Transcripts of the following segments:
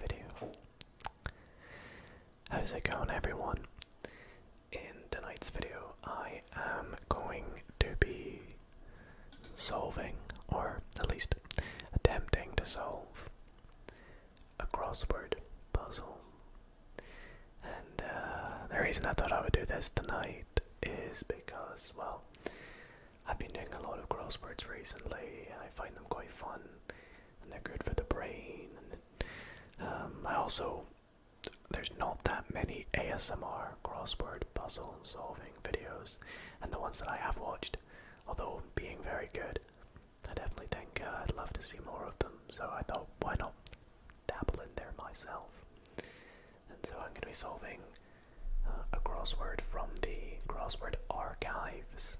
video. How's it going, everyone? In tonight's video, I am going to be solving, or at least attempting to solve, a crossword puzzle. And uh, the reason I thought I would do this tonight is because, well, I've been doing a lot of crosswords recently, and I find them quite fun, and they're good for the brain. And um, I also there's not that many ASMR crossword puzzle solving videos, and the ones that I have watched, although being very good, I definitely think uh, I'd love to see more of them. So I thought, why not dabble in there myself? And so I'm going to be solving a crossword from the crossword archives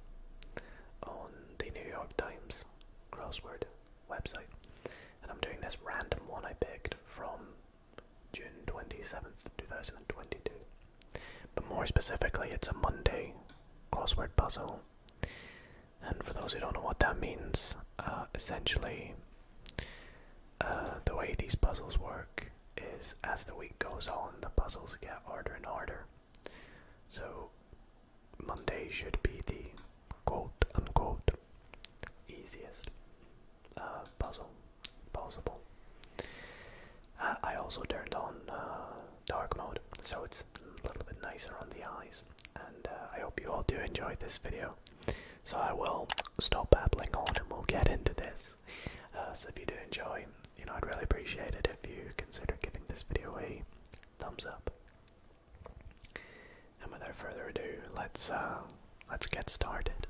on the New York Times crossword website. And I'm doing this random one I picked from June 27th, 2022. But more specifically, it's a Monday crossword puzzle. And for those who don't know what that means, uh, essentially, uh, the way these puzzles work is as the week goes on, the puzzles get harder and harder. So Monday should be the quote unquote easiest uh, puzzle possible. Uh, I also turned on uh, dark mode, so it's a little bit nicer on the eyes. And I hope you all do enjoy this video. So I will stop babbling on and we'll get into this. Uh, so if you do enjoy, you know, I'd really appreciate it if you consider giving this video a thumbs up. And without further ado, let's uh, let's get started.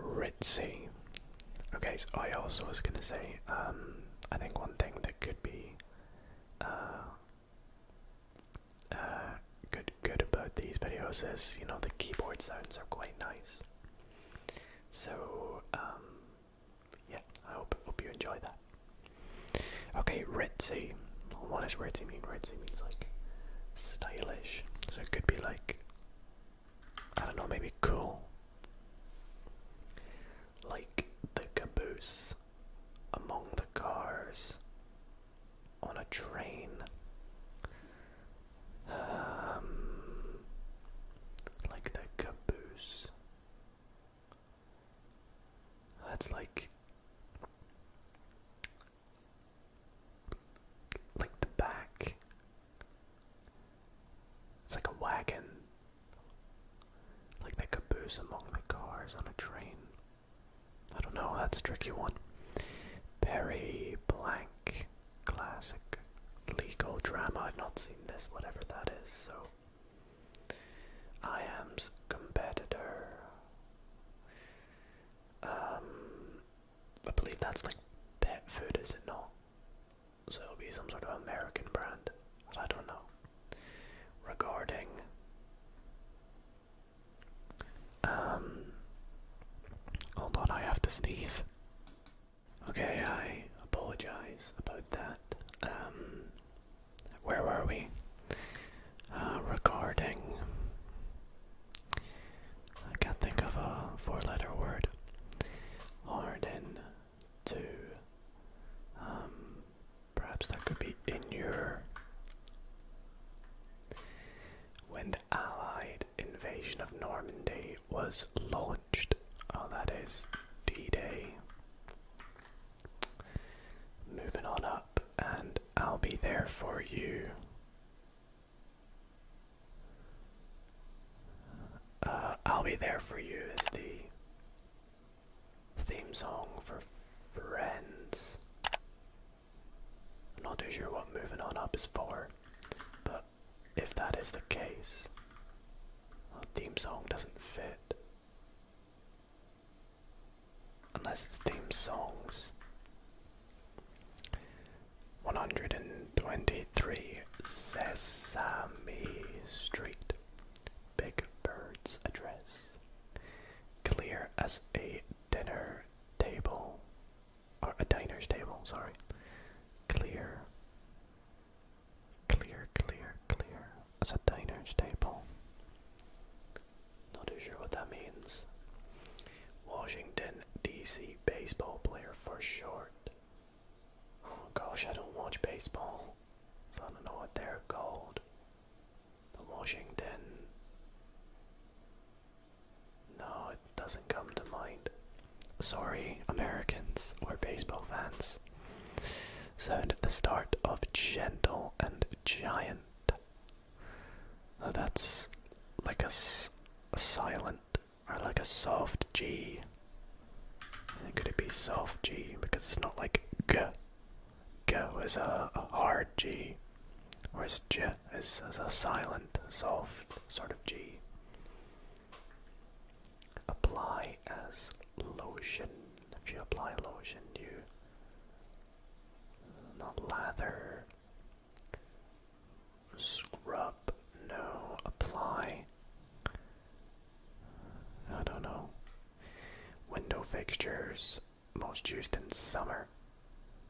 Ritzy. Okay, so I also was gonna say, um, I think one thing that could be uh, uh, good good about these videos is you know the keyboard sounds are quite nice. So um, yeah, I hope hope you enjoy that. Okay, ritzy. What does ritzy mean? Ritzy means like stylish. So it could be like I don't know, maybe cool. Like the caboose among the cars on a train. Um, like the caboose. That's like like the back. It's like a wagon. Like the caboose among the cars on a train. I don't know, that's a tricky one. Perry Blank Classic Legal Drama. I've not seen this, whatever that is, so. I am's competitor. Um, I believe that's like pet food, is it not? So it'll be some sort of American brand, I don't know. Regarding um, hold on, I have to sneeze. Okay, I apologize about that. Um, where were we? Uh, Recording. I can't think of a four letter word. in, to. Um, perhaps that could be in your. When the Allied invasion of Normandy was launched, oh, that is D Day. Moving on up, and I'll be there for you. Uh, I'll be there for you as the theme song for Friends. I'm not too sure what moving on up is for, but if that is the case, our theme song doesn't fit. Unless it's theme songs. 123 Sesame Street. Big Bird's address. Clear as a dinner table, or a diner's table, sorry. Clear, clear, clear, clear. As a diner's table. Not too sure what that means. Washington, D.C. baseball player for short. Oh gosh, I don't watch baseball, I don't know what they're called. The Washington. No, it doesn't come to mind. Sorry, Americans or baseball fans. Sound at the start of gentle and giant. that's like a, silent or like a soft G. could it be soft G? Because it's not like G. G was a, a hard G. Whereas J is, is a silent, soft sort of G. Apply as lotion. If you apply lotion, you not lather, scrub, no, apply. I don't know. Window fixtures most used in summer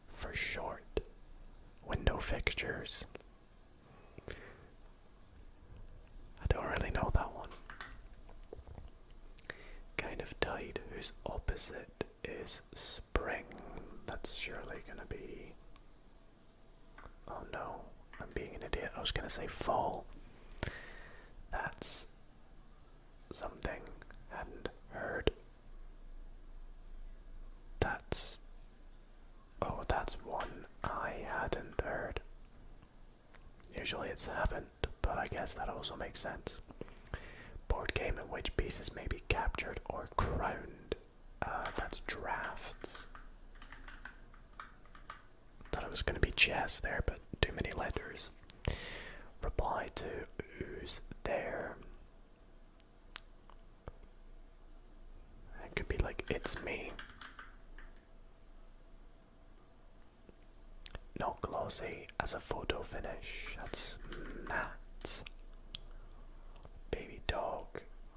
for short window fixtures. I don't really know that one. Kind of tide, whose opposite is spring. That's surely gonna be. Oh no, I'm being an idiot. I was gonna say fall. That's something I hadn't heard that's. Oh, that's one I hadn't heard. Usually it's have but I guess that also makes sense. Board game in which pieces may be captured or crowned. Uh, that's drafts. Thought it was going to be chess there, but too many letters. Reply to who's there. It could be like, it's me. Not glossy as a photo finish. That's matte. Baby dog.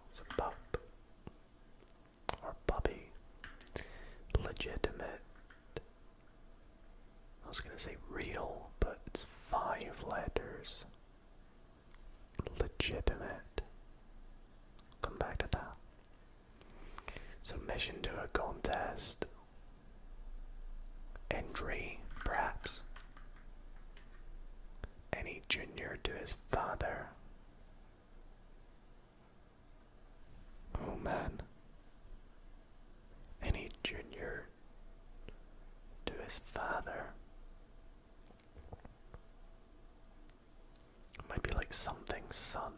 It's a pup. Or puppy. Legitimate. I was gonna say real, but it's five letters. Legitimate. Come back to that. Submission to a contest. Entry, perhaps. Any junior to his father. Oh man. Any junior to his father. It might be like something son.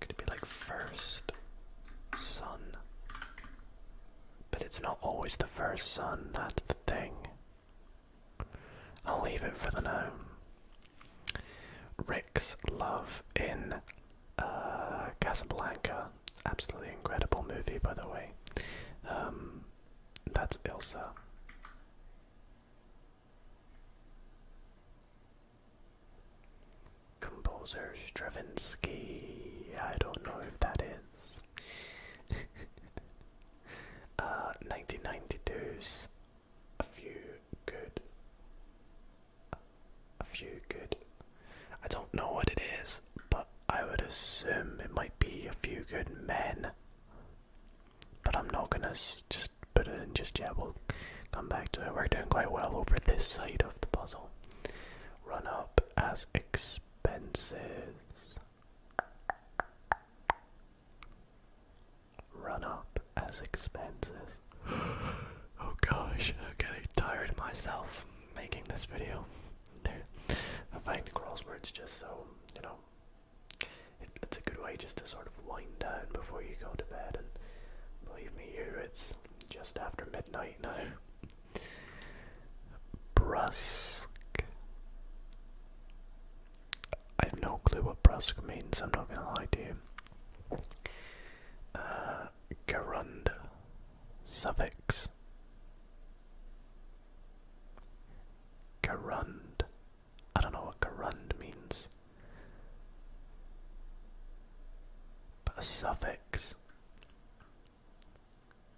Could it be like first son? But it's not always the first son, that's the thing. I'll leave it for the now. Rick's love in uh, Casablanca, absolutely incredible movie, by the way. Um, that's Ilsa. Composer Stravinsky. I don't know if that is. uh, 1992's A Few Good a few good. I don't know what it is, but I would assume it might be a few good men. But I'm not gonna just put it in just yet. We'll come back to it. We're doing quite well over this side of the puzzle. Run up as expenses. Run up as expenses. oh gosh, I'm getting tired myself making this video. There, I find crosswords just so you know. it's a good way just to sort of wind down before you go to bed, and believe me, here it's just after midnight now. Brusque. I have no clue what brusque means. I'm not gonna lie to you. Uh, gerund suffix. Gerund. I don't know what gerund means. But a suffix.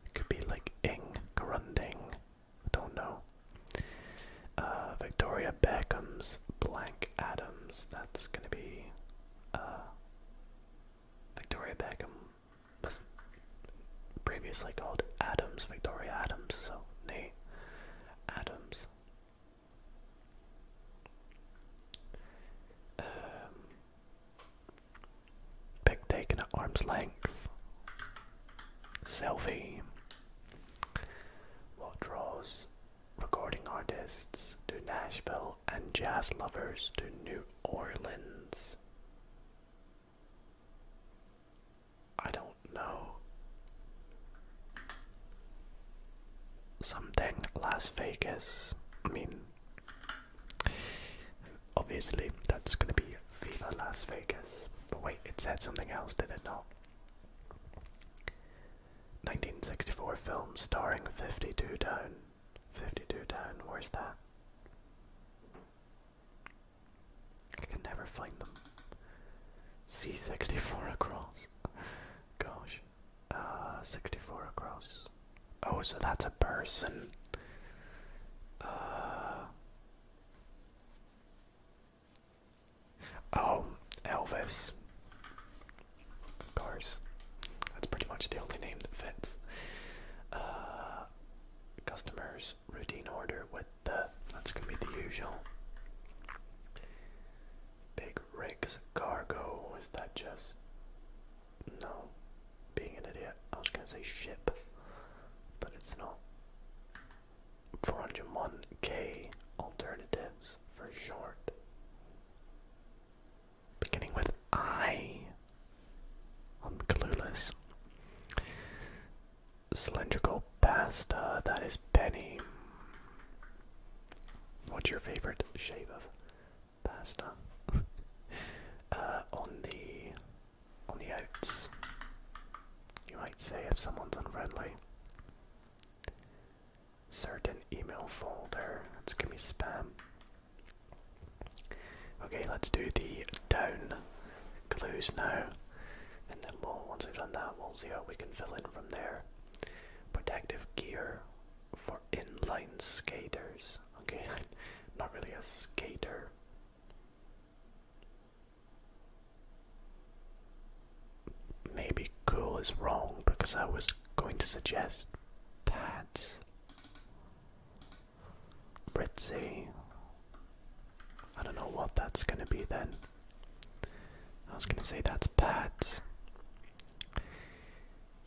It could be like ing, gerunding. I don't know. Uh, Victoria Beckham's Blank Adams. That's gonna be. Uh, Victoria Beckham was previously called Adams, Victoria Adams, so Nate Adams. Um, taken at arm's length. Selfie. What draws recording artists to Nashville and jazz lovers to New Orleans. I don't know. Something Las Vegas. I mean, obviously that's gonna be Viva Las Vegas. But wait, it said something else, did it not? 1964 film starring 52 Down. 52 down, where's that? I can never find them. C64 across. Gosh. Uh, 64 across. Oh, so that's a person. Uh, oh, Elvis. Cars. That's pretty much the only name that fits. Uh, customers, routine order with the, that's going to be the usual. Big rigs, cargo, is that just, no, being an idiot. I was going to say ship, but it's not. 401k alternatives for short beginning with I. I'm clueless. Cylindrical pasta, that is penny. What's your favorite shape of pasta? Uh, on the on the outs, you might say if someone's unfriendly. Certain email folder. It's gonna be spam. Okay, let's do the down clues now, and then once we've done that, we'll see how we can fill in from there. Protective gear for inline skaters. Okay, not really a skater. Maybe cool is wrong because I was going to suggest pads. Ritzy. I don't know what that's gonna be then. I was gonna say that's Pat's.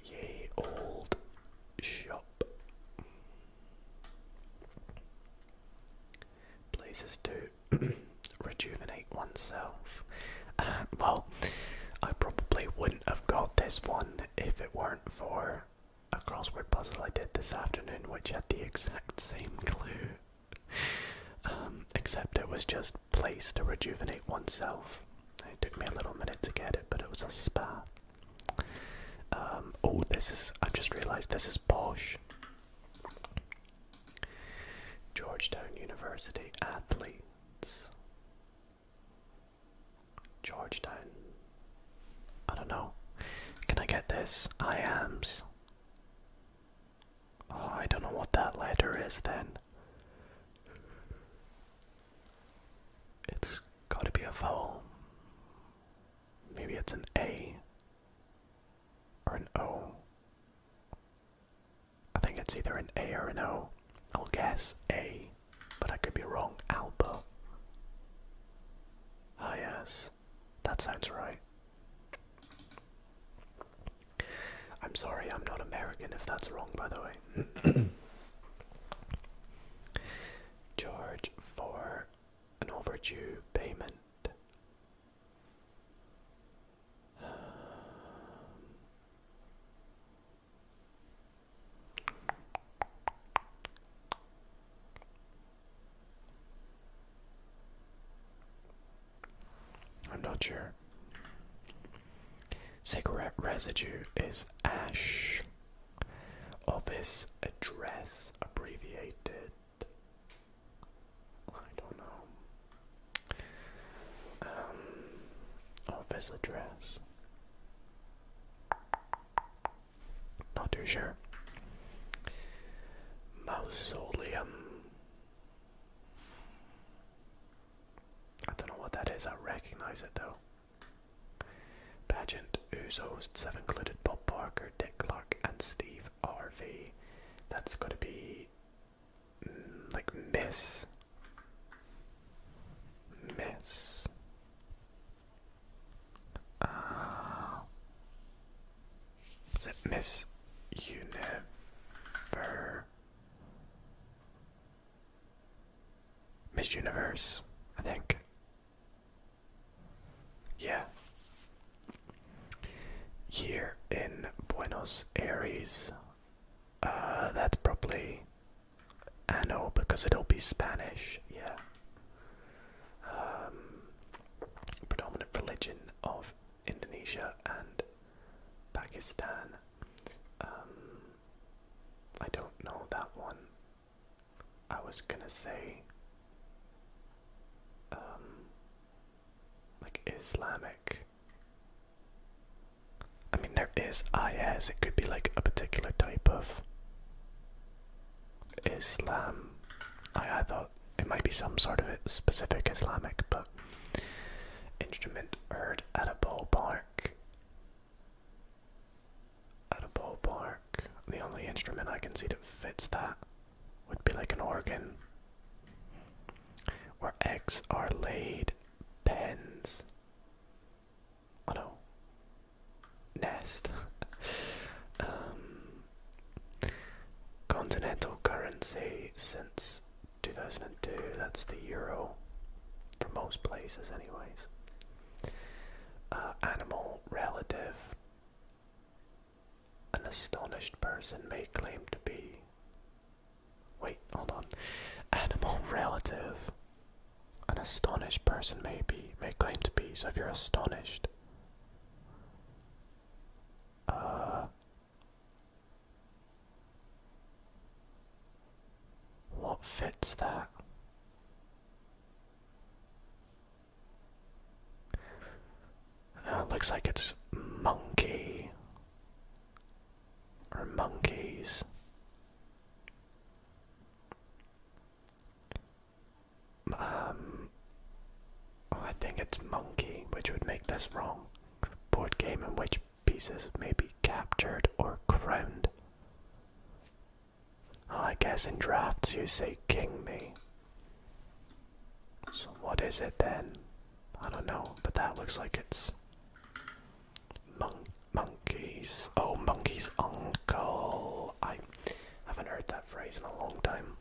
Yay, old shop. Places to rejuvenate oneself. well, I probably wouldn't have got this one if it weren't for a crossword puzzle I did this afternoon, which had the exact same clue. Um, except it was just place to rejuvenate oneself. It took me a little minute to get it, but it was a spa. Um, oh, this is, i just realised this is Bosch. Georgetown University athletes. Georgetown. I don't know. Can I get this? I ams. Oh, I don't know what that letter is then. It's gotta be a vowel. Maybe it's an A or an O. I think it's either an A or an O. I'll guess A but I could be wrong. Alba. Ah, yes. That sounds right. I'm sorry, I'm not American if that's wrong, by the way. Charge for an overdue payment. Um, I'm not sure. Cigarette residue is ash. Office address abbreviated. I don't know. Um, office address. Not too sure. Mausoleum. I don't know what that is. I recognize it though. Pageant, Who's hosts have included Bob Barker, Dick Clark, and Steve Harvey. That's going to be mm, like Miss miss. Uh, Miss Univer? Miss Universe, I think. Yeah. Here in Buenos Aires, uh, that's probably ano because it'll be Spanish, yeah. Um, predominant religion of Indonesia and Pakistan. Um, I don't know that one. I was gonna say, um, like Islamic, I mean, there is IS, it could be like a particular type of Islam. I, I thought it might be some sort of specific Islamic, but instrument heard at a ballpark. At a ballpark. The only instrument I can see that fits that would be like an organ. Where eggs are laid, pens oh nest. Um, continental currency since 2002, that's the euro, for most places, anyways. Uh, animal relative. An astonished person may claim to be Wait, hold on. Animal relative. An astonished person may be, may claim to be. So if you're astonished, uh, what fits that? Uh, looks like it's monkey or monkeys. Um, oh, I think it's monkey, which would make this wrong. Board game in which pieces may be captured or crowned. Oh, I guess in drafts you say king me. So what is it then? I don't know, but that looks like it's Mon monkeys. Oh, monkey's uncle. I haven't heard that phrase in a long time.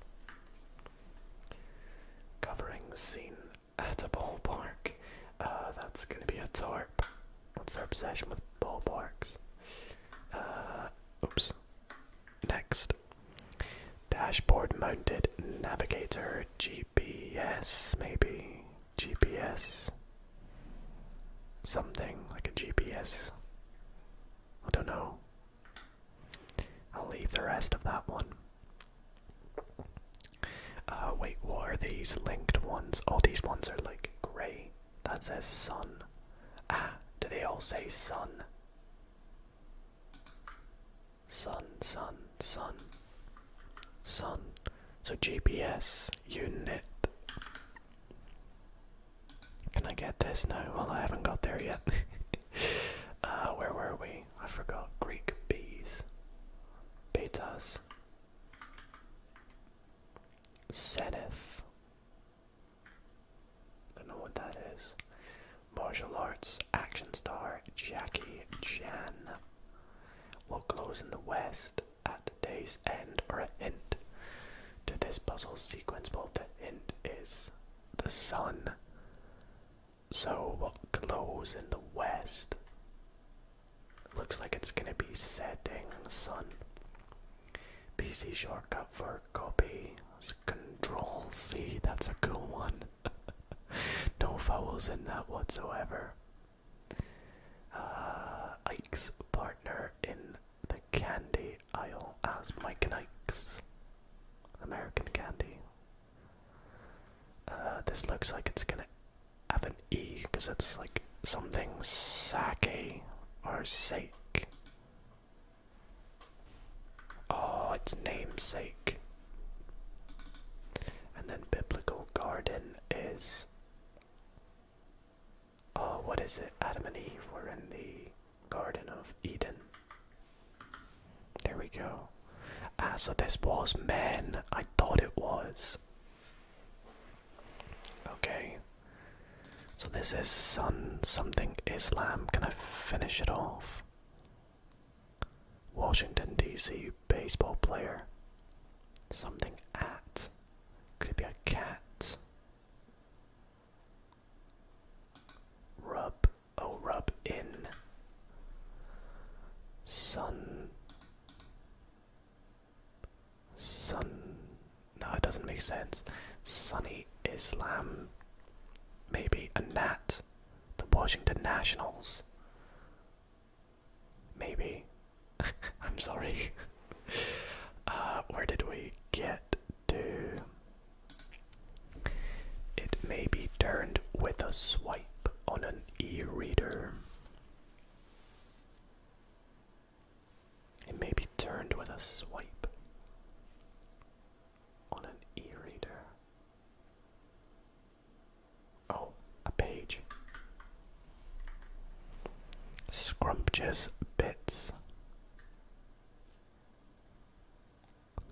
Covering scene at a ballpark. Uh, that's gonna be a tarp. What's their obsession with ballparks? Uh, oops. Next. Dashboard mounted navigator GPS, maybe. GPS something like a GPS. I don't know. I'll leave the rest of that one. Uh, wait, what are these linked ones? All these ones are like grey. That says sun. Ah, do they all say sun? Sun, sun, sun, sun. So GPS unit. Can I get this now? Well, I haven't got there yet. Uh, where were we? I forgot. Greek bees. Betas. Zenith. I know what that is. Martial arts, action star, Jackie Chan. What glows in the west? at the day's end or a hint to this puzzle sequence. both the end is the sun. So, what glows in the west? Looks like it's gonna be setting sun. PC shortcut for copy. It's control C, that's a cool one. no vowels in that whatsoever. Uh, Ike's partner in the candy aisle as Mike and Ike's American Candy. Uh, this looks like it's gonna have an E because it's like something sake or sake. Oh, it's namesake. And then Biblical Garden is Oh, what is it? Adam and Eve were in the Garden of Eden. There we go. Ah, so this was men. I thought it was. Okay. So this is Sun something Islam. Can I finish it off? Washington, D.C. baseball player. Something at. Could it be a cat? Rub. Oh, rub in. Sun. Sun. No, it doesn't make sense. Sunny Islam. Maybe a gnat. The Washington Nationals. Maybe. I'm sorry. uh, where did we get to? It may be turned with a swipe on an e reader. It may be turned with a swipe on an e reader. Oh, a page. Scrumptious bits.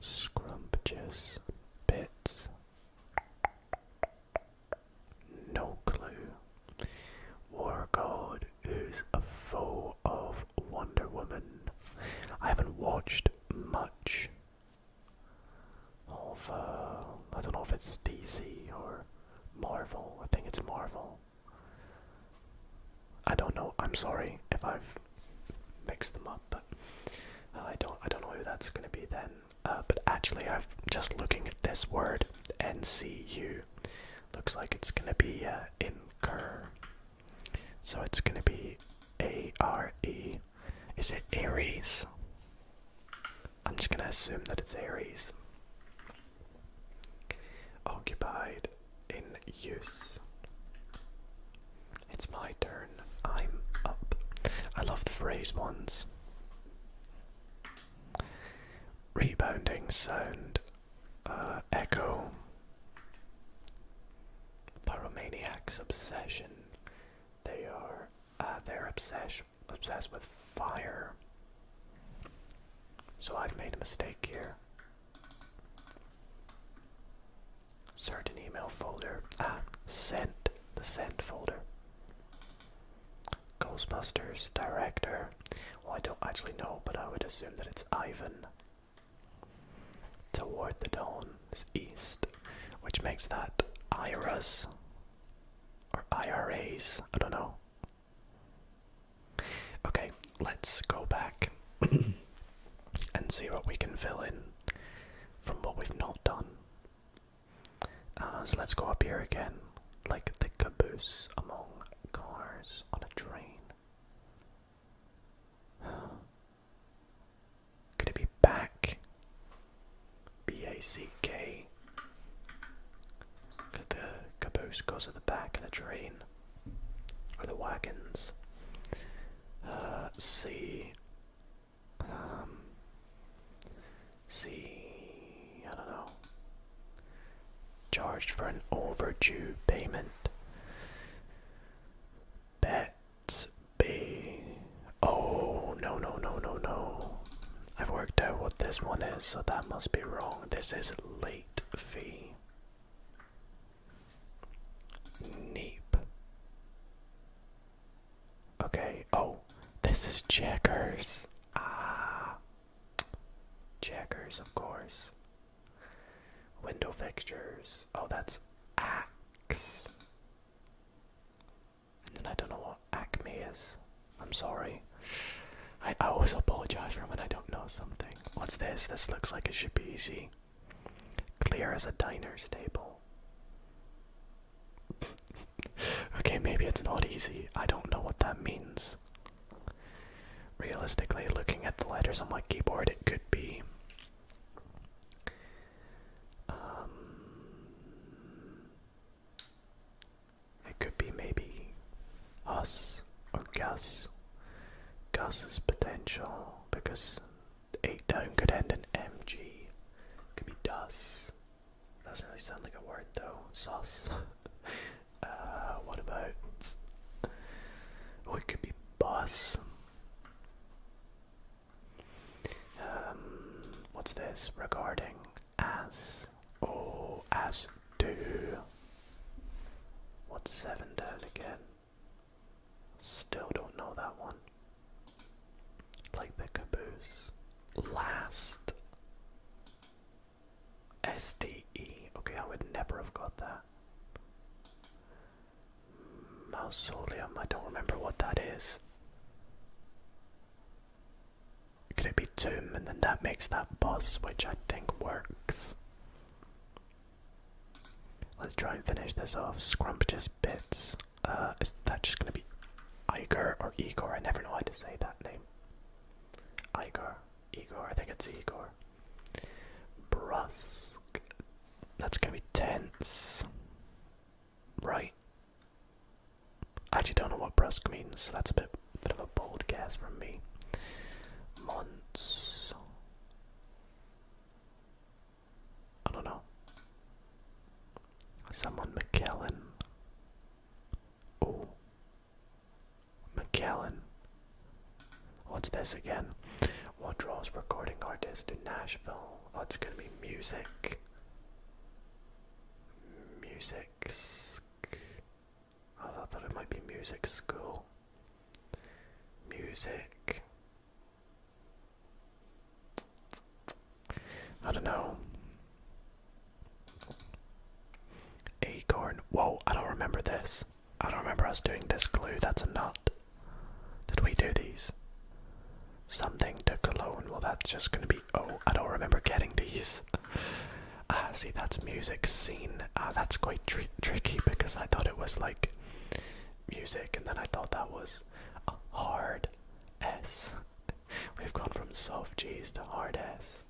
Scrumptious bits. No clue. War God who's a foe of Wonder Woman. I haven't watched much of uh, I don't know if it's DC or Marvel. I think it's Marvel. I don't know. I'm sorry if I've mixed them up, but uh, I don't I don't know who that's gonna be then. Uh, but actually, I've just looking at this word NCU. Looks like it's gonna be incur. So it's gonna be A R E is it Aries? I'm just gonna assume that it's Aries. Occupied in use. It's my turn. I'm up. I love the phrase "once." Rebounding sound. Uh, echo. Paromaniacs' obsession. They are. Uh, their obsession obsessed with fire. So I've made a mistake here. Certain email folder. Ah, sent. The sent folder. Ghostbusters director. Well, I don't actually know, but I would assume that it's Ivan. Toward the dawn is east, which makes that Iris or IRAs. I don't know. Okay, let's go back and see what we can fill in from what we've not done. Uh, so let's go up here again, like the caboose among cars on a train. Could it be back? B A C K. the caboose goes at the back of the train, or the wagons. Uh, um, I don't know. Charged for an overdue payment. Bets. B. Oh, no, no, no, no, no. I've worked out what this one is, so that must be wrong. This is late fee. Neep. Okay, oh, this is checkers. Ah. Checkers, of course. Window fixtures. Oh, that's axe. And then I don't know what acme is. I'm sorry. I, always apologize for when I don't know something. What's this? This looks like it should be easy. Clear as a diner's table. okay, maybe it's not easy. I don't know what that means. Realistically, looking at the letters on my keyboard, it could be. Um, it could be maybe us or Gus. Gus's potential because eight down could end in MG. could be Dust. Doesn't really sound like a word though. Sauce. Uh, what about? Oh, it could be Bus. Um, what's this regarding as? Oh, as do. What's seven down again? Still don't know that one. Like the caboose. Last. SDE. Okay, I would never have got that. Mausoleum. I don't remember what that is. Could it be tomb and then that makes that boss, which I think works? Let's try and finish this off. Scrumptious bits. Uh, is that just gonna be Igor or Igor? I never know how to say that name. Igor, Igor, I think it's Igor. Brusque. That's gonna be tense. Right. I actually don't know what brusque means, that's a bit, bit of a bold guess from me. Months. I don't know. Someone McKellen. Oh. McKellen. What's this again? What draws recording artists to Nashville? Oh, it's gonna be music music. I thought it might be music school. Music. I don't know. Acorn. Whoa, I don't remember this. I don't remember us doing this glue. That's a nut. Did we do these? Something to cologne. Well, that's just gonna be. Oh, I don't remember getting these. Ah, see, that's music scene. Ah, that's quite tricky because I thought it was like music, and then I thought that was a hard S. We've gone from soft G's to hard S.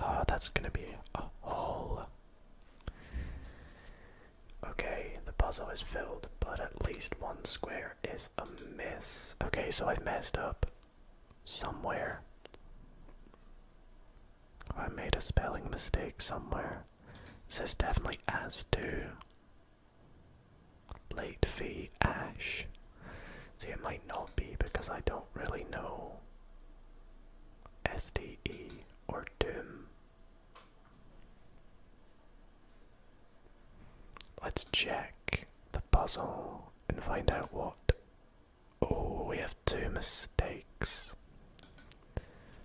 Ah, that's gonna be a hole. Okay, the puzzle is filled, but at least one square is a miss. Okay, so I've messed up somewhere. I made a spelling mistake somewhere. This definitely as to late fee ash. See, it might not be because I don't really know SDE or Doom. Let's check the puzzle and find out what. Oh, we have two mistakes.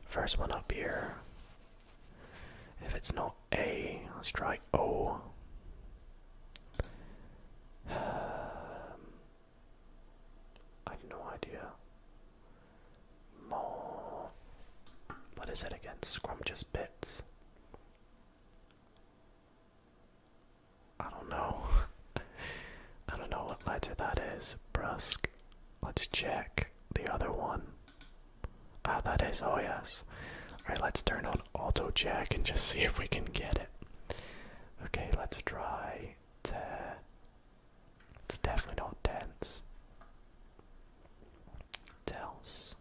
First one up here. If it's not A, let's try O. Um, have no idea more. What is it again? Scrumptious bits. I don't know. I don't know what letter that is. Brusk. Let's check the other one. Ah, that is. Oh, yes. Alright, let's turn on auto check and just see if we can get it. Okay, let's try. It's definitely not tense. Tells.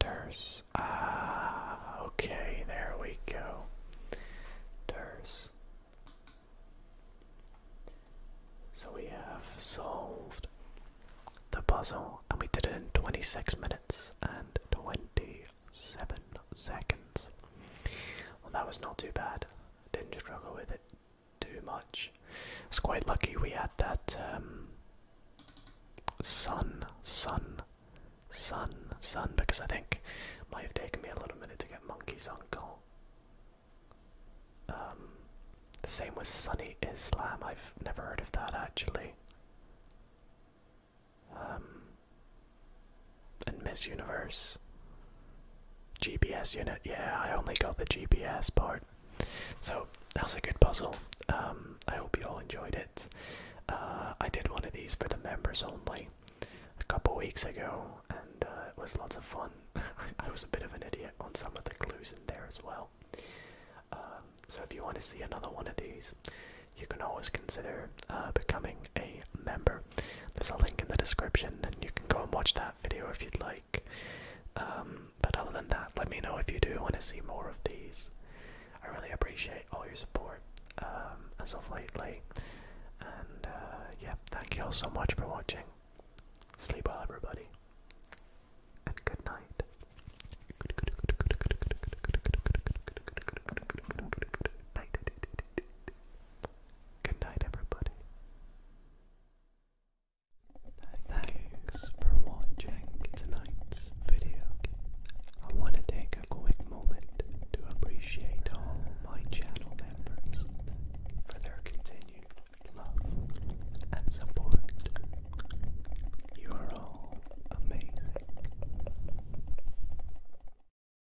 Durs. Ah, okay, there we go. Durs. So we have solved the puzzle, and we did it in 26 minutes and 27 seconds. Well, that was not too bad didn't struggle with it too much. I was quite lucky we had that um, sun, sun, sun, sun, because I think it might have taken me a little minute to get Monkey's Uncle. Um, the same with Sunny Islam, I've never heard of that actually. Um, and Miss Universe. GPS unit, yeah, I only got the GPS part. So that's a good puzzle. Um, I hope you all enjoyed it. Uh, I did one of these for the members only a couple weeks ago, and uh, it was lots of fun. I was a bit of an idiot on some of the clues in there as well. Um, so if you want to see another one of these, you can always consider uh, becoming a member there's a link in the description, and you can go and watch that video if you'd like. Um, but other than that, let me know if you do want to see more of these. I really appreciate all your support um, as of lately. And uh, yeah, thank you all so much for watching. Sleep well, everybody. And good Night. Good night, everybody. Thanks for watching tonight's video. I want to take a quick moment to appreciate all my channel members for their continued love and support. You are all amazing.